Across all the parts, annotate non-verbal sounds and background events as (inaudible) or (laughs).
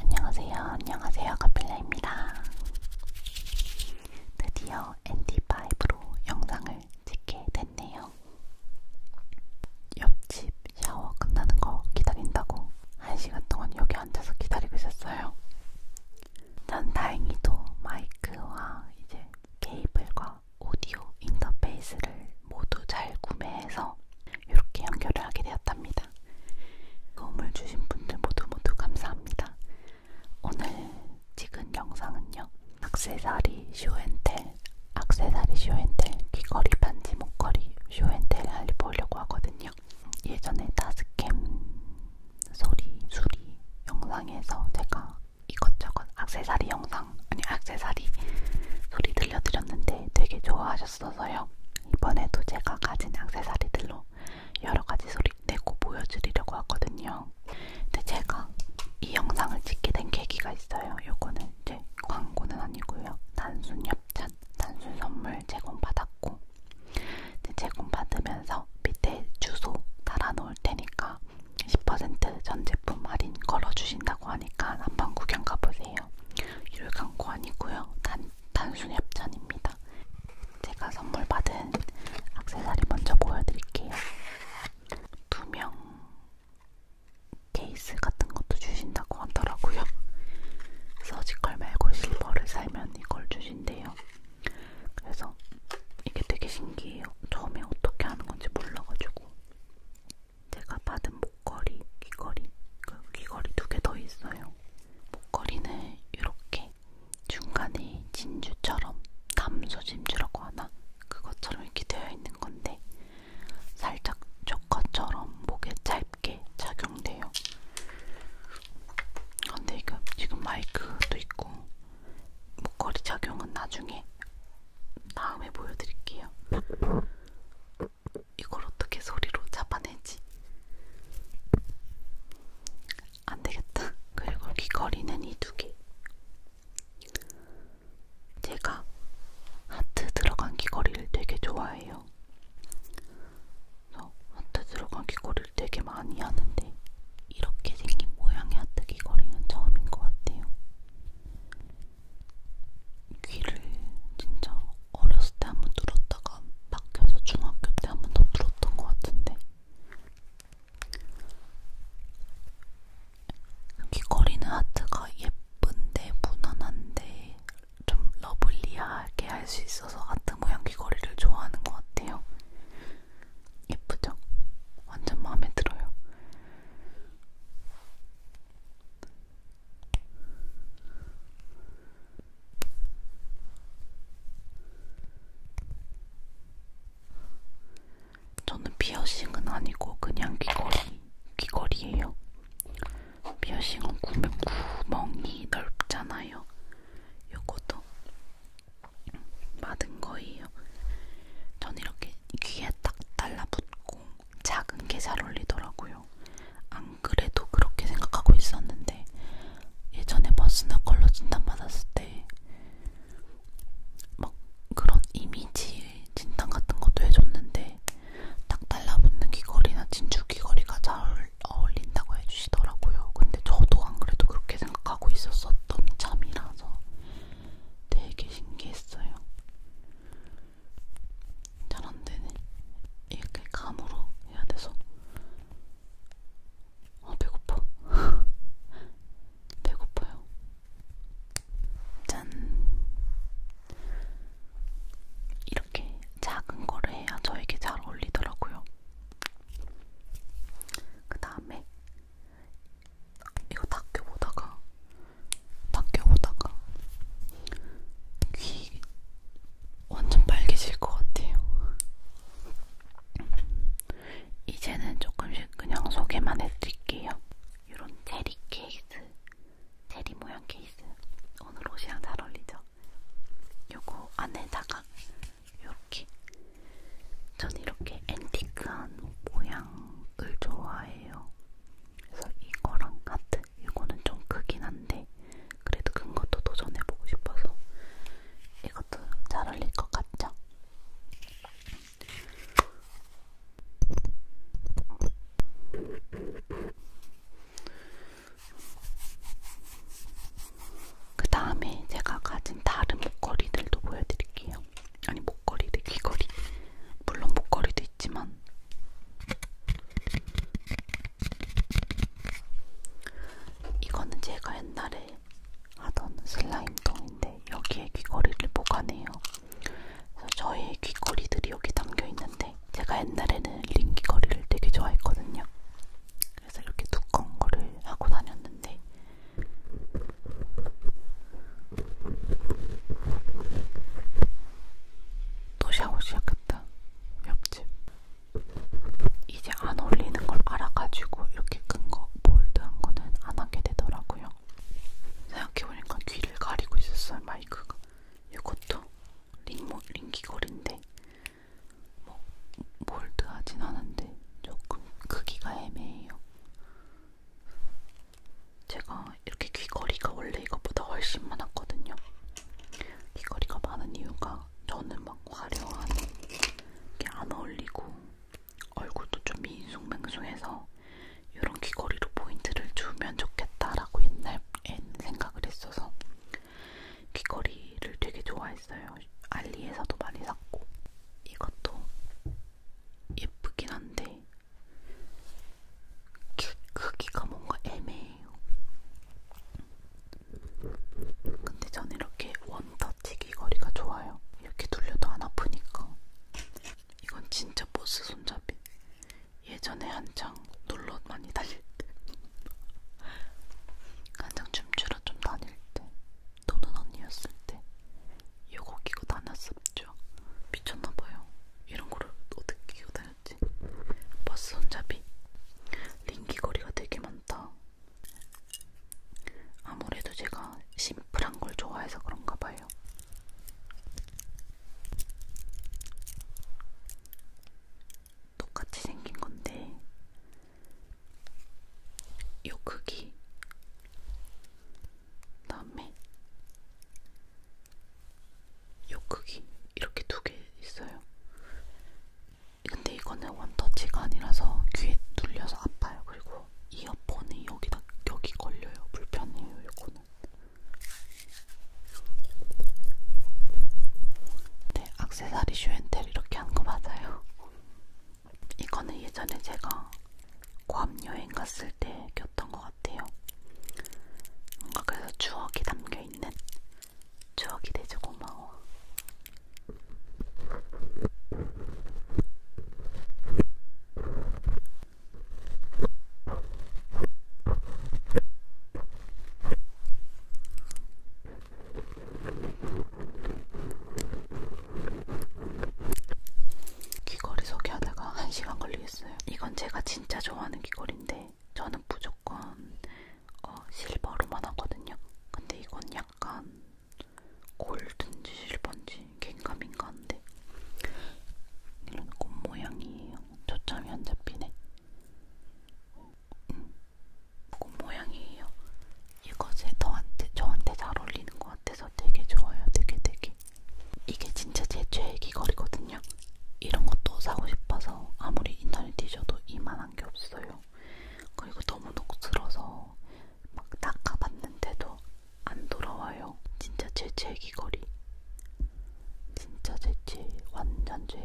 안녕하세요. 안녕하세요. 카필라입니다. 드디어 ND5로 영상을 찍게 됐네요. 옆집 샤워 끝나는 거 기다린다고 1시간 동안 여기 앉아서 기다리고 있었어요. 난 다행히도 마이크와 이제 케이블과 오디오 인터페이스를 모두 잘 구매해서 이렇게 연결을 하게 되었답니다. 도움을 주신 분들 모두 모두 감사합니다. 오늘 찍은 영상은요. 악세사리 쇼앤텔, 악세사리 쇼앤텔, 귀걸이, 반지, 목걸이 쇼앤텔 알려보려고 하거든요. 예전에 다스캠 소리, 수리 영상에서 제가 이것저것 악세사리 영상, 아니 악세사리 소리 들려드렸는데 되게 좋아하셨어요. 하셨어서요. 이번에도 제가 가진 악세사리들로 여러가지 소리 내고 보여드리려고 하거든요. 근데 제가 이 영상을 찍게 된 계기가 있어요. 요거는 이제 광고는 아니고요. 단순 협찬, 단순 선물 제공받았고 제공받으면서 밑에 주소 달아놓을 테니까 10% 전제품 할인 걸어주신다고 하니까 한번 구경 가보세요. 유료 광고 아니고요. 단, 단순 협찬입니다. 제가 선물 받은 악세사리 먼저 보여드릴게요. 두 명 케이스 같은 것도 주신다고 하더라고요. (laughs) 서지컬 말고 실버를 살면 이걸 주신대요. 그래서 이게 되게 신기해요. 처음에 어떻게 하는 건지 몰라가지고 제가 받은 목걸이, 귀걸이, 그 귀걸이 두 개 더 있어요. 목걸이는 이렇게 중간에 진주처럼 담소 진주라고 하나? 그것처럼 이렇게 되어 있는 건데 살짝 조커처럼 목에 짧게 착용돼요. 근데 이거 지금 마이크도 있고 목걸이 착용은 나중에 다음에 보여드릴게요. 이걸 어떻게 소리로 잡아내지? 안되겠다. 그리고 귀걸이는 이 두 개. 제가 하트 들어간 귀걸이를 되게 좋아해요. 그래서 하트 들어간 귀걸이를 되게 많이 하는데 이렇게 생긴 모양의 하트 귀걸이는 처음인 것 같아요. 귀를 진짜 어렸을 때한번 뚫었다가 막혀서 중학교 때 한번더 뚫었던 것 같은데 귀걸이는 하트가 예쁜데 무난한데 좀 러블리하게 할 수 있어서 하트 모양 귀걸이를 좋아하는 것 같아요. 예쁘죠? 완전 마음에 들어요. 저는 피어싱은 아니고 그냥 귀걸이, 귀걸이에요. 피어싱은 구멍, 구멍이 넓잖아요. 요것도 받은 거예요. 전 이렇게 귀에 딱 달라붙고 작은 게 잘 어울리더라고요. 안 그래도 그렇게 생각하고 있었는데 예전에 버스나 컬러 진단 받았을 때 막 그런 이미지 진단 같은 것도 해줬는데 딱 달라붙는 귀걸이나 진주 귀걸이가 잘 어울린다고 해주시더라고요. 근데 저도 안 그래도 그렇게 생각하고 있었었던 참이라서 되게 신기했어요. 잘안 되네. 이렇게 감으로 해야 돼서. 아, 배고파. (laughs) 배고파요. 짠. 이렇게 작은 거를 해야 저에게 잘 어울리더라고요. 그 다음에 이거 닦여 보다가 닦여 보다가 귀 완전 빨개질 것 같아요. 이제는 조금씩 그냥 소개만 해드릴게요. 이런 체리 케이스, 체리 모양 케이스. 오늘 옷이랑 잘 어울리죠? 요거 안에다가 이렇게 전 이렇게 앤티크한 모양을 좋아해요. 그래서 이거랑 하트 이거는 좀 크긴 한데 그래도 큰 것도 도전해보고 싶어서 이것도 잘 어울릴 것 같죠? 그 다음에 제가 가진 다른 목걸이들도 보여드릴게요. 아니 목걸이 대 귀걸이 물론 목걸이도 있지만 이거는 제가 옛날에 하던 슬라임통인데 여기에 귀걸이를 보관해요. 그래서 저의 귀걸이들이 여기 담겨 있는데 제가 옛날에는 링 귀걸이를 되게 좋아했거든요. 그래서 이렇게 두꺼운 거를 하고 다녔는데 또 샤워 시작했다. 옆집. 이제 안 어울리는 걸 알아가지고 이렇게 큰거 몰드한 거는 안 하게 되더라고요. 생각해보니까 귀를 가리고 있었어요, 마이크가. 이것도 링모, 링귀걸인데 뭐 몰드하진 않은데 조금 크기가 애매해요. 제가 이렇게 귀걸이가 원래 이것보다 훨씬 많았거든요. 귀걸이가 많은 이유가 저는 막 화려한 게 안 어울리고 얼굴도 좀 밍숭맹숭해서 이런 귀걸이로 포인트를 주면 좋겠다라고 옛날엔 생각을 했어서 귀걸이를 되게 좋아했어요. 알리에서도 많이 샀고 이것도 예쁘긴 한데 크기가 뭔가 애매해요. 근데 저는 이렇게 원터치기 거리가 좋아요. 이렇게 돌려도 안 아프니까. 이건 진짜 보스 손잡이. 예전에 한창 놀러 많이 다닐 때. (laughs) 한창 춤추러 좀 다닐 때. 노는 언니였을 때. 이거 끼고 다녔었죠. 미쳤나봐요. 이런 거를 어떻게 끼고 다녔지? 버스 손잡이. 링기거리가 되게 많다. 아무래도 제가 심플한 걸 좋아해서 그런가 봐요. 똑같이 생긴 건데, 요 크기. 다음에 요 크기 이렇게 두 개 있어요. 근데 이거는 원터치가 아니라서 귀에 눌려서 아파요. 그리고 이어폰이 여기다 여기 걸려요. 불편해요. 이거는. 네, 악세사리 슈엔텔 이렇게 한 거 맞아요. 이거는 예전에 제가 괌 여행 갔을 때 꼈던 것 같아요. 뭔가 그래서 추억이 담겨있는 추억이 되죠 고마워. 귀걸이 소개하다가 1시간 걸리겠어요. 이건 제가 진짜 좋아하는 귀걸인데 저는 무조건 어, 실버로만 하거든요. 근데 이건 약간 골든지 실버인지 갱감인가 한데 이런 꽃 모양이에요. 초점이 안 잡히네. 음, 꽃 모양이에요. 이거 제 너한테 저한테 잘 어울리는 것 같아서 되게 좋아요. 되게 되게. 귀걸이 이게 진짜 제 최애 귀걸이거든요. 이런 것도 사고 싶어서 아무리 인터넷 뒤져도 이만한 게 없어요. 그리고 너무 녹슬어서 막 닦아봤는데도 안 돌아와요. 진짜 제 최애 귀걸이. 진짜 제 최애. 완전 죄.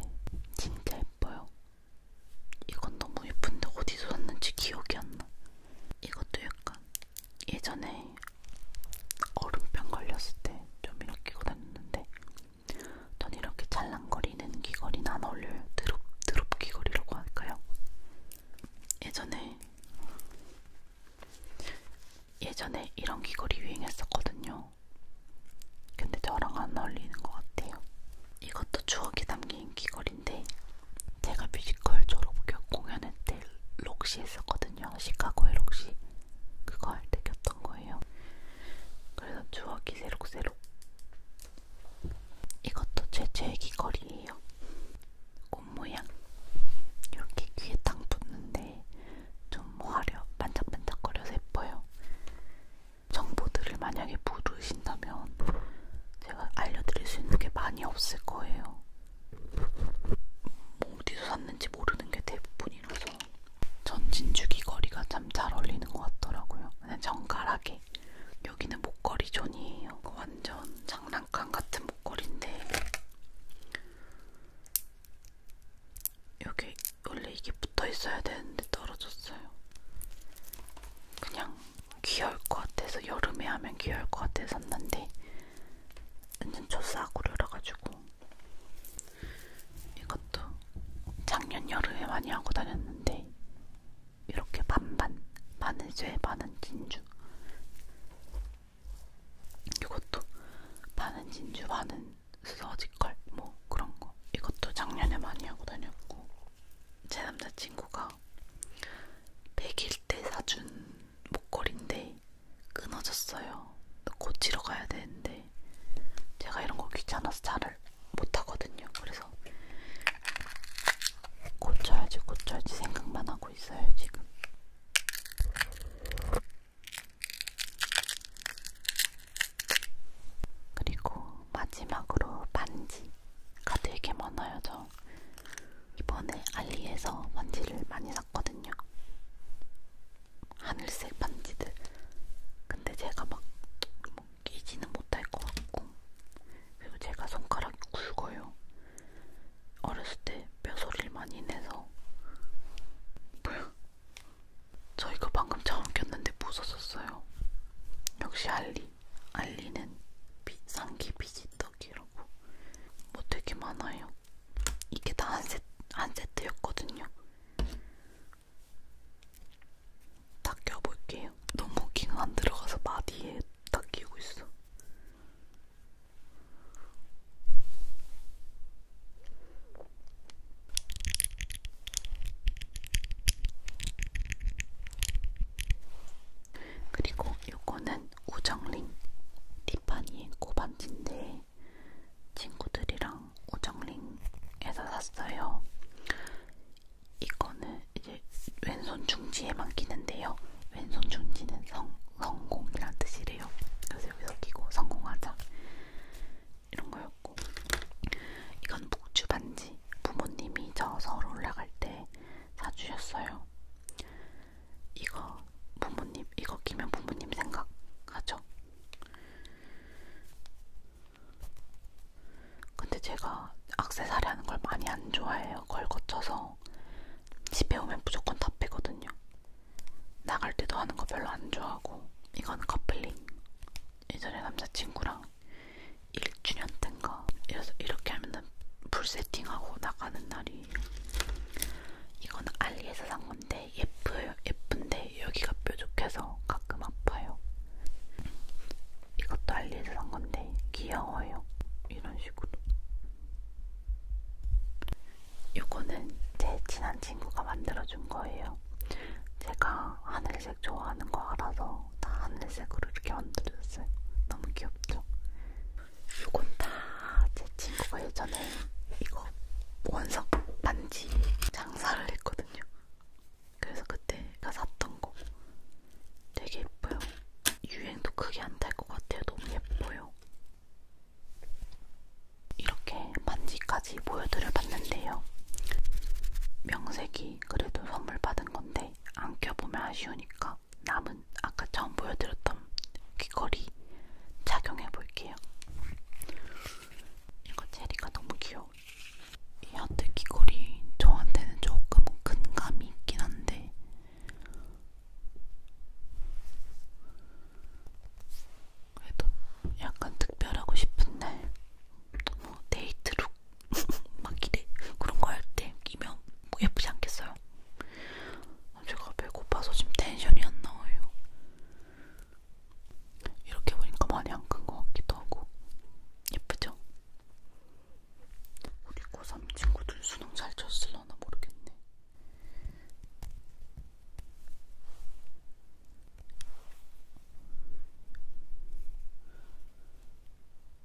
진짜 예뻐요. 이건 너무 예쁜데 어디서 샀는지 기억이 안 나. 이것도 약간 예전에 얼음병 걸렸을 때 좀 이렇게 끼고 다녔는데 전 이렇게 찰랑거리는 귀걸이는 안 어울려요. 드롭, 드롭 귀걸이라고 할까요? 예전에 예전에 이런 귀걸이 유행했었거든요. 근데 저랑 안 어울리는 것 같아요. 이것도 추억이 담긴 귀걸이 밴드인데 제가 뮤지컬 졸업교 공연회 때 록시 했었거든요. 시카고의 록시 그거 할때 꼈던 거예요. 그래서 추억이 새록새록 이것도 제 제귀걸이에요. 꽃 모양 이렇게 귀에 딱 붙는데 좀 화려 반짝반짝거려서 예뻐요. 정보들을 만약에 모르신다면 제가 알려드릴 수 있는 게 많이 없을 거예요. 뭐 어디서 샀는지 모르는 게 대부분이라서 전진주기 거리가 참 잘 어울리는 것 같더라고요. 그냥 정갈하게. 여기는 목걸이 존이에요. 완전 장난감 같은 목걸이인데 여기 원래 이게 붙어 있어야 되는데 떨어졌어요. 그냥 귀여울 것 같아서 여름에 하면 귀여울 것 같아서 샀는데 완전 초싸구려라가지고 이것도 작년 여름에 많이 하고 다녔는데 이렇게 반반 반은 쇠 반은 진주 이것도 반은 진주 반은 수서지컬 뭐 그런거 이것도 작년에 많이 하고 다녔고 제 남자친구가 제가 100일 때 사준 목걸인데 끊어졌어요. 고치러 가야 되는데 제가 이런 거 귀찮아서 잘을 못 하거든요. 그래서 고쳐야지 고쳐야지 생각만 하고 있어요 지금. 그리고 마지막으로 반지가 되게 많아요. 저 이번에 알리에서 반지를 많이 샀거든요. 하늘색 반지들. 근데 제가 막뭐 끼지는 못할 것 같고, 그리고 제가 손가락이 굵어요. 어렸을 때 뼈소리를 많이 내서. 뭐야? 저 이거 방금 처음 꼈는데 무서웠어요. 역시 알리. 알리는 상기 빛이 떠. 덕이라고 뭐 되게 많아요. 이게 다 한 세트, 한 세트였거든요. 다 껴볼게요. 너무 긴 안 들어가서 마디에 다 끼고 있어. 그리고 요거는 우정링 티파니의 코반지인데 친구들이랑 우정링에서 샀어요. 이거는 이제 왼손 중지에만 끼는데요. 왼손 중지는 성, 성공이란 뜻이래요. 그래서 여기서 끼고 성공하자. 이런 거였고. 이건 목주 반지. 부모님이 저 서울 올라갈 때 사주셨어요. 이거 부모님 이거 끼면 부모님 생각하죠. 근데 제가 악세사리 하는 걸 많이 안 좋아해요. 걸 거쳐서 집에 오면 무조건 다 빼거든요. 나갈 때도 하는 거 별로 안 좋아하고 이건 커플링. 예전에 남자친구랑 1주년 된가 이렇게 하면은 불 세팅하고 나가는 날이 이건 알리에서 산 건데 예뻐요 예쁜데 여기가 뾰족해서 가끔 아파요 이것도 알리에서 산 건데 귀여워요 이런 식으로 요거는 제 친한 친구가 만들어준 거예요 제가 하늘색 좋아하는 거 알아서 해서 다 하늘색으로 이렇게 만들어줬어요. 너무 귀엽죠? 이건 다 제 친구가 예전에 이거 원석 반지 장사를 했거든요. 그래서 그때가 샀던 거 되게 예뻐요. 유행도 크게 안 될 것 같아요. 너무 예뻐요. 이렇게 반지까지 보여드려 봤는데요. 명색이 그래도 선물 받은 건데 근데 안 껴보면 아쉬우니까 남은 아까 처음 보여드렸던 귀걸이 착용해 볼게요. 이거 체리가 너무 귀여워. 이 하트 귀걸이 저한테는 조금 큰 감이 있긴 한데 그래도 약간 특별하고 싶은데 뭐 데이트룩 (laughs) 막 이래 그런 거 할 때 끼면 뭐 예쁘지 않겠어요? 제가 배고파서 지금 텐션이 안 나와요. 이렇게 보니까 많이 안 큰 것 같기도 하고 예쁘죠? 우리 고3 친구들 수능 잘 쳤을려나 모르겠네.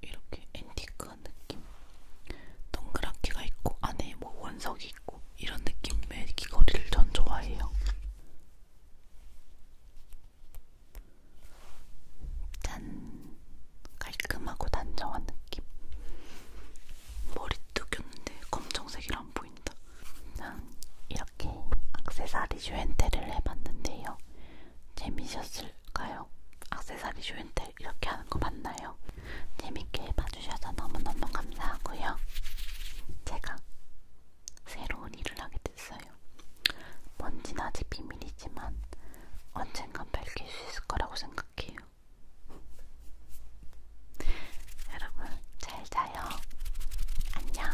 이렇게 앤티크한 느낌 동그랗게가 있고 안에 뭐 원석이 있고 이런 느낌의 귀걸이를 전 좋아해요 짠 깔끔하고 단정한 느낌 머리도 꼈는데 검정색이라 안 보인다 난 이렇게 악세사리 주엔테를 해봤는데요 재미있었을 맞을까요? 악세사리 쇼인텔 이렇게 하는 거 맞나요? 재밌게 봐주셔서 너무너무 감사하고요. 제가 새로운 일을 하게 됐어요. 뭔진 아직 비밀이지만 언젠간 밝힐 수 있을 거라고 생각해요. (laughs) 여러분, 잘 자요. 안녕.